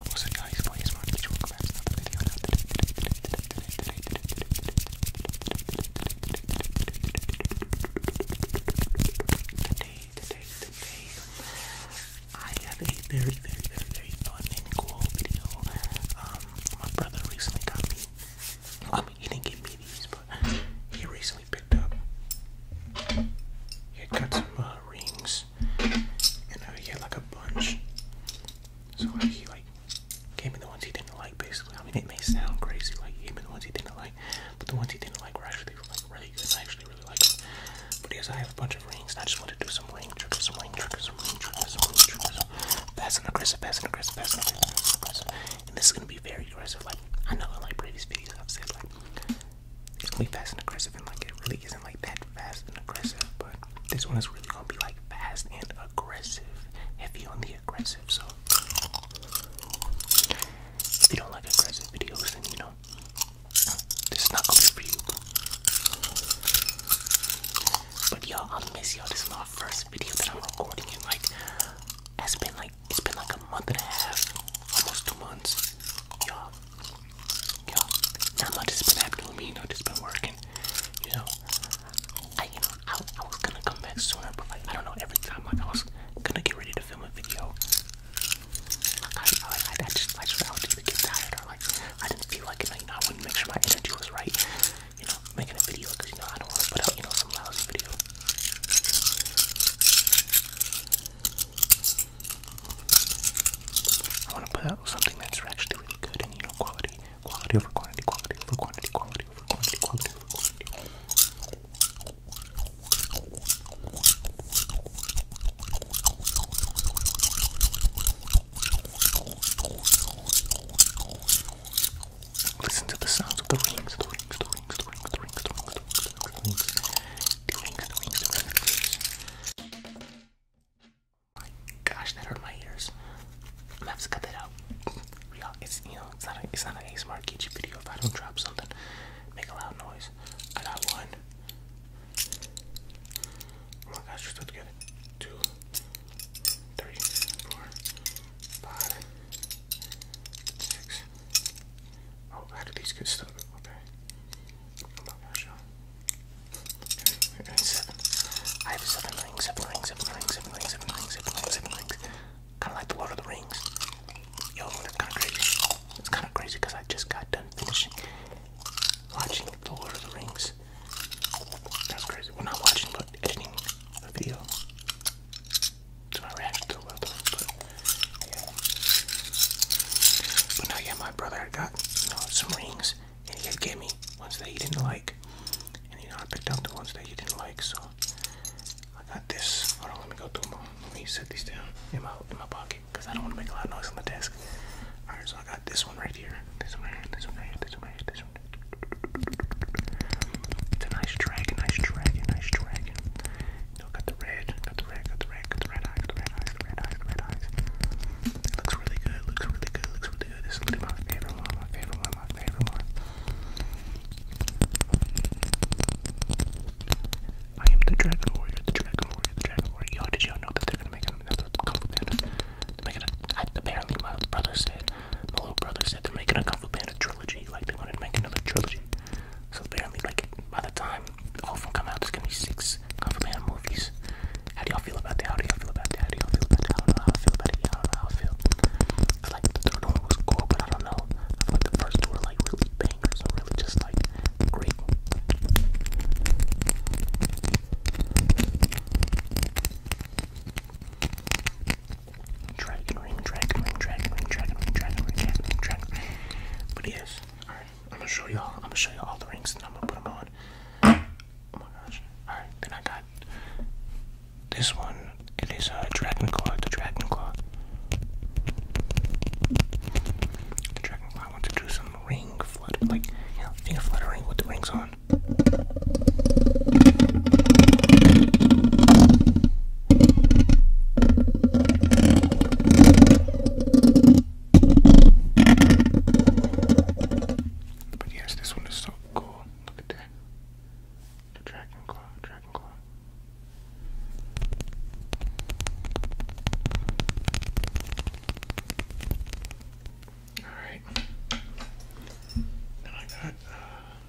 What's up guys, my name is Mark, welcome back to another video. Now today, today, today, today, today, today, today, today, today, today, I have a very, very, very, very fun and cool video. Um, my brother recently got me, I mean, he didn't give me these, but he recently picked up, he had got some uh, rings and uh, he had like a bunch. So like, he like gave me the ones he didn't like, basically. I mean, it may sound crazy, like he gave me the ones he didn't like, but the ones he didn't like were actually like really good. I actually really liked them. But yes, I have a bunch of rings, and I just want to do some ring triggers, some ring triggers, some ring triggers, some ring triggers. Fast and aggressive, fast and aggressive, fast and aggressive, aggressive. And this is gonna be very aggressive. Like I know in like previous videos I've said like it's gonna be fast and aggressive, and like it really isn't like that fast and aggressive, but this one is really gonna be like fast and aggressive, heavy on the aggressive. So, if you don't like aggressive videos, then you know, this is not gonna be for you. But y'all, I miss y'all. This is my first video that I'm recording, and like, it's been like it's been like a month and a half, almost two months, y'all. You know, not just been acting me, you know, just been working. You know, I, you know, I, I was gonna come back sooner, but like, I don't know, every time like, I was gonna get ready to film a video, like, I, I, I, I just, like, I would either tired or like, I didn't feel like it, you know, I wouldn't make sure my energy was right, you know, making a video, because, you know, I don't want to put out, you know, some lousy video. I want to put out something that's actually really good and you know quality, quality over quantity, quality over quantity, quality over quantity, quality over quantity. Listen to the sounds of the rings. My gosh, that hurt my ears. i have to cut that out. it's you know, it's not a, it's not an video if I don't drop something. Make a loud noise. I got one. Oh my gosh, just together. Two, three, four, five, six. Oh, how do these get stuck? Okay. Seven. I have seven rings, seven rings, seven rings, seven rings, seven rings, seven rings, seven rings. Kind of like the Lord of the Rings. Yo, that's kind of crazy. It's kind of crazy because I just got done finishing watching the Lord of the Rings. That's crazy. Well, not watching, but editing a video. So I reacted to the Lord of the Rings, but yeah. But no, yeah, my brother got you know, some rings, and he had gave me ones that he didn't like, and you know I picked out the ones that he didn't like. So I got this. Hold on, let me go through them. All. Let me set these down in my in my pocket because I don't want to make a lot of noise on the desk. All right, so I got this one right here. This one right here. This one right here. This one right here. This one. Right here. It's a nice dragon. Nice dragon. Nice dragon. No, got the red, got the red, got the red, got the red eye, got the red eyes, the red eyes, the red eyes. looks really good, looks really good, looks really good. This is my favorite one, my favorite one, my favorite one. I am the Dragon Warrior, the Dragon Warrior, the Dragon Warrior. Y'all, did y'all know that they're gonna make another Kung Fu Panda? They're making a, I, apparently my brother said, my little brother said they're making a Kung Fu Panda trilogy, like they wanted to make another trilogy. So apparently, like, by the time all oh, of them come out. There's gonna be six Kung Fu Panda movies. How do y'all feel about that? How do y'all feel about that? How do y'all feel about that? I don't know how I feel about it. Yeah, I don't know how I feel. Cause like the third one was cool, but I don't know. I feel like the first two were like really bangers or really just like great. Dragon Ring, Dragon Ring, Dragon Ring, Dragon Ring, Dragon Ring, Dragon Ring, Dragon Ring. But all right, I'm gonna show y'all. I'm gonna show you all the rings, and I'm gonna put them on. Oh my gosh! All right, then I got this one. It is a uh, dragon claw. The dragon claw. The dragon claw. I want to do some ring flutter, like you know, finger fluttering with the rings on. But yes, this one is so cool. Look at that. The dragon claw, dragon claw. Alright. Now I got uh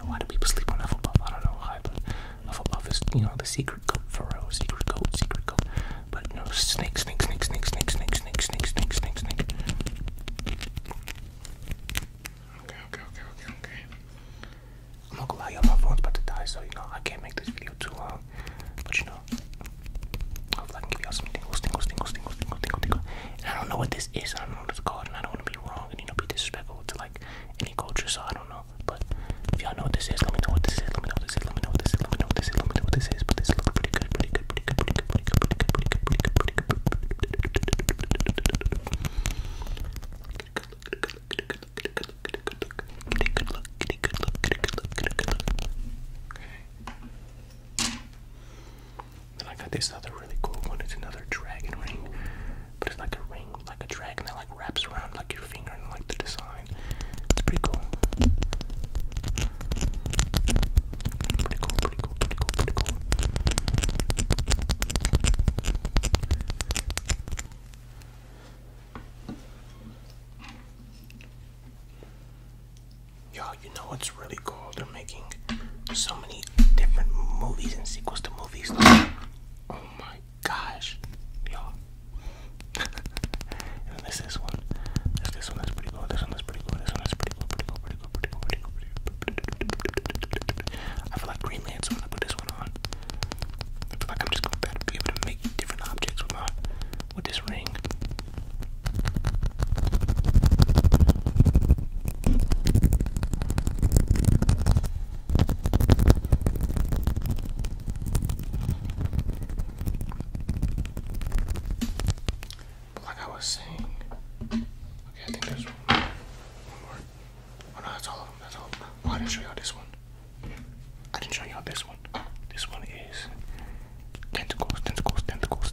you know, people sleep on Hufflepuff. I don't know why, but Hufflepuff is, you know, the secret coat for real. Secret coat, secret coat. But no, snake, snake, snake, snake, snake, snake, snake, snake, snake, snake, snake. Okay, okay, okay, okay, okay. i my phone's about to die, so, you know, I can't make this video too long. But, you know, hopefully I can give y'all some tingles, tingles, tingles, tingles, tingles, tingles, tingles. I don't know what this is. I not don't know what it's called, and I don't want to be wrong and you know be disrespectful to like any culture, so I don't know. But if y'all know what this is, let me know what this is. Let me know what this is. Let me know what this is. Let me know what this is. Let me know what this is. But this is looking pretty good, pretty good, pretty good, pretty good, pretty good, pretty good, pretty good, pretty good, pretty good, pretty good, pretty good, then I got this other really cool one. It's another dragon ring, but it's like a ring, like a dragon that like wraps around like your finger and like the design. It's pretty cool. Pretty cool, pretty cool, pretty cool, Yo, you know what's it's really cool. They're making so many different movies and sequels to movies. Oh my gosh, y'all! and there's this one. There's this one that's pretty cool. This one that's pretty cool. This one that's pretty cool. Pretty cool. Pretty cool. Pretty cool. Pretty cool. Pretty cool. I feel like Green Lantern when I put this one on. I feel like I'm just going to be able to make different objects with my with this ring like I was saying, okay, I think there's one, one more. Oh no, that's all of them. That's all. Oh, I didn't show y'all this one. I didn't show y'all this one. This one is tentacles, tentacles, tentacles, tentacles,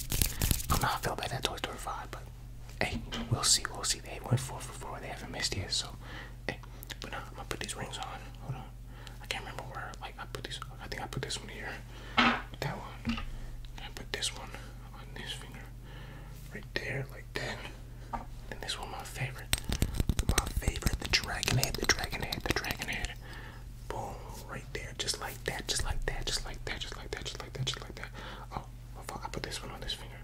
I'm not feel bad that Toy Story 5, but hey, we'll see, we'll see. They went four for four, they haven't missed yet, so hey, but now I'm gonna put these rings on. Hold on. I can't remember where like I put these I think I put this one here. That one. I put this one on this finger. Right there, like that. Then this one my favorite. My favorite, the dragon head, the dragon head, the dragon head. Boom, right there, just like that, just like that, just like that, just like that, just like that, just like that. Oh, fuck, I put this one on this finger.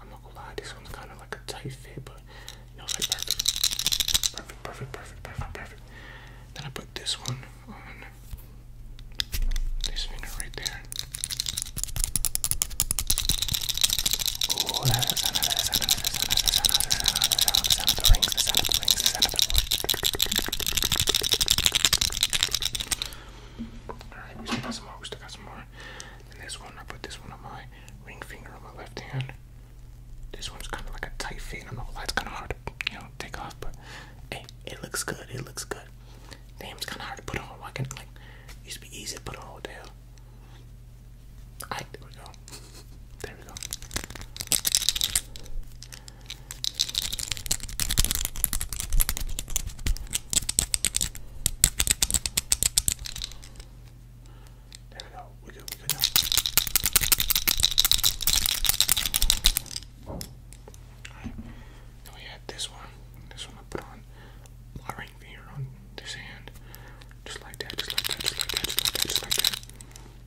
I'm not gonna lie, this one's kind of like a tight fit, but it's like perfect. Perfect, perfect, perfect, perfect, perfect. Then I put this one on this finger right there. Alright, we still got some more, we still got some more. And this one, I put this one on my ring finger on my left hand. This one's kind of like a tight fit. I don't know kind of hard to, you know, take off, but hey, it looks good. It looks good. Damn, it's kind of hard to put on. Why can like used to be easy to put on all I there we go. There we go. There we go. We good. We good now. All right. Now we had this one. This one I put on my ring finger on this hand, just like that, just like that, just like that, just like that, just like that.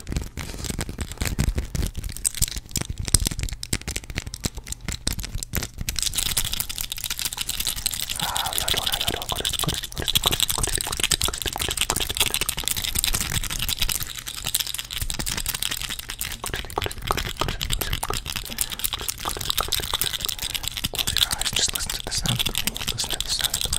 Close your eyes. Just listen to the sound of the rain. Listen to the sound of the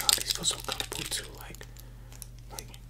God, these feel so comfortable too, like, like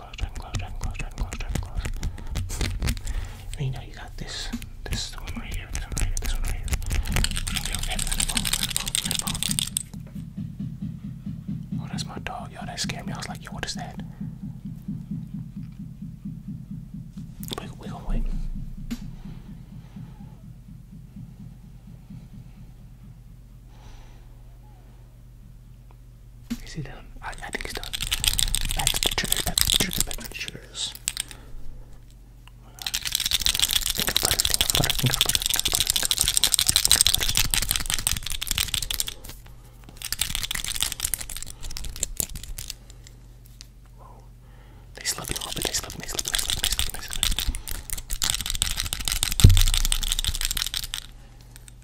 you know you got this, this is the one right here, this one right here, Oh, that's my dog, yo, that scared me. I was like, yo, what is that? We, we wait. Is he done? I, I think he's done. Back to the triggers, back to the triggers, back to the triggers. Think of butter, think of butter, think of butter, think of butter, think of butter, think of butter, think of butter. Whoa. They slept a little bit, they slept, they slept, they slept, they slept, they slept.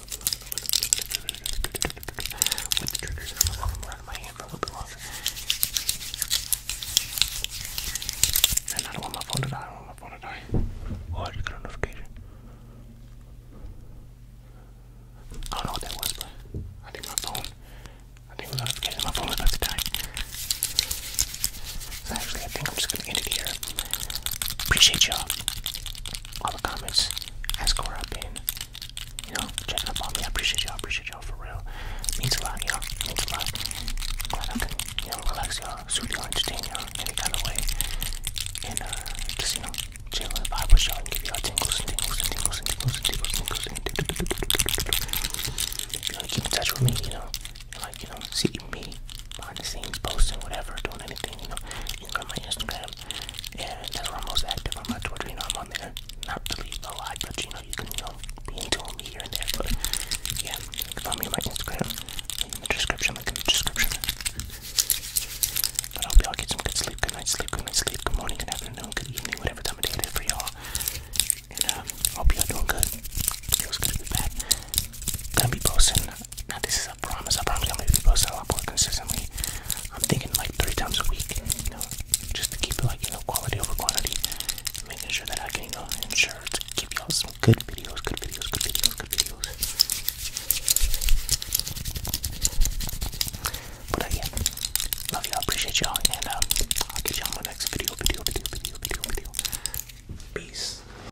i And I don't want my phone to die. I don't want my phone to die. Oh, I got a notification. I don't know what that was, but I think my phone. I think it was a notification. My phone about to die. actually, I think I'm just gonna end it here. Appreciate y'all all the comments, ask where I've been, you know, checking up on me. I appreciate y'all, appreciate y'all for real. It means a lot, y'all. It means a lot. Glad I can, you know, relax y'all, soothe y'all, entertain y'all in any kind of way. And uh just, you know, chill and vibe with y'all and give y'all tingles and tingles and tingles and tingles and tingles and tingles and tingles and tingles. You know, keep in touch with me, you know, and like, you know, see me behind the scenes posting, whatever, doing anything, you know, you can go on my Instagram, and that's where I'm most active, on my Twitter, you know, I'm on there, not really a lot, but you know, you can, know, be into me here and there, but yeah, you can follow me on my Instagram, in the description, link in the description, but I hope y'all get some good sleep, good night sleep, good night sleep, good morning, good afternoon, good evening, whatever time of day it is for y'all, and um, hope y'all doing good, feels good to be back, gonna be posting, now this is I promise. I promise I'm gonna be posting a lot more consistently. I'm thinking like three times a week, you know, just to keep it like, you know, quality over quantity. Making sure that I can, you know, ensure to give y'all some good videos, good videos, good videos, good videos. But uh, yeah, love y'all, appreciate y'all, and um, I'll get y'all my next video, video, video, video, video, video. Peace.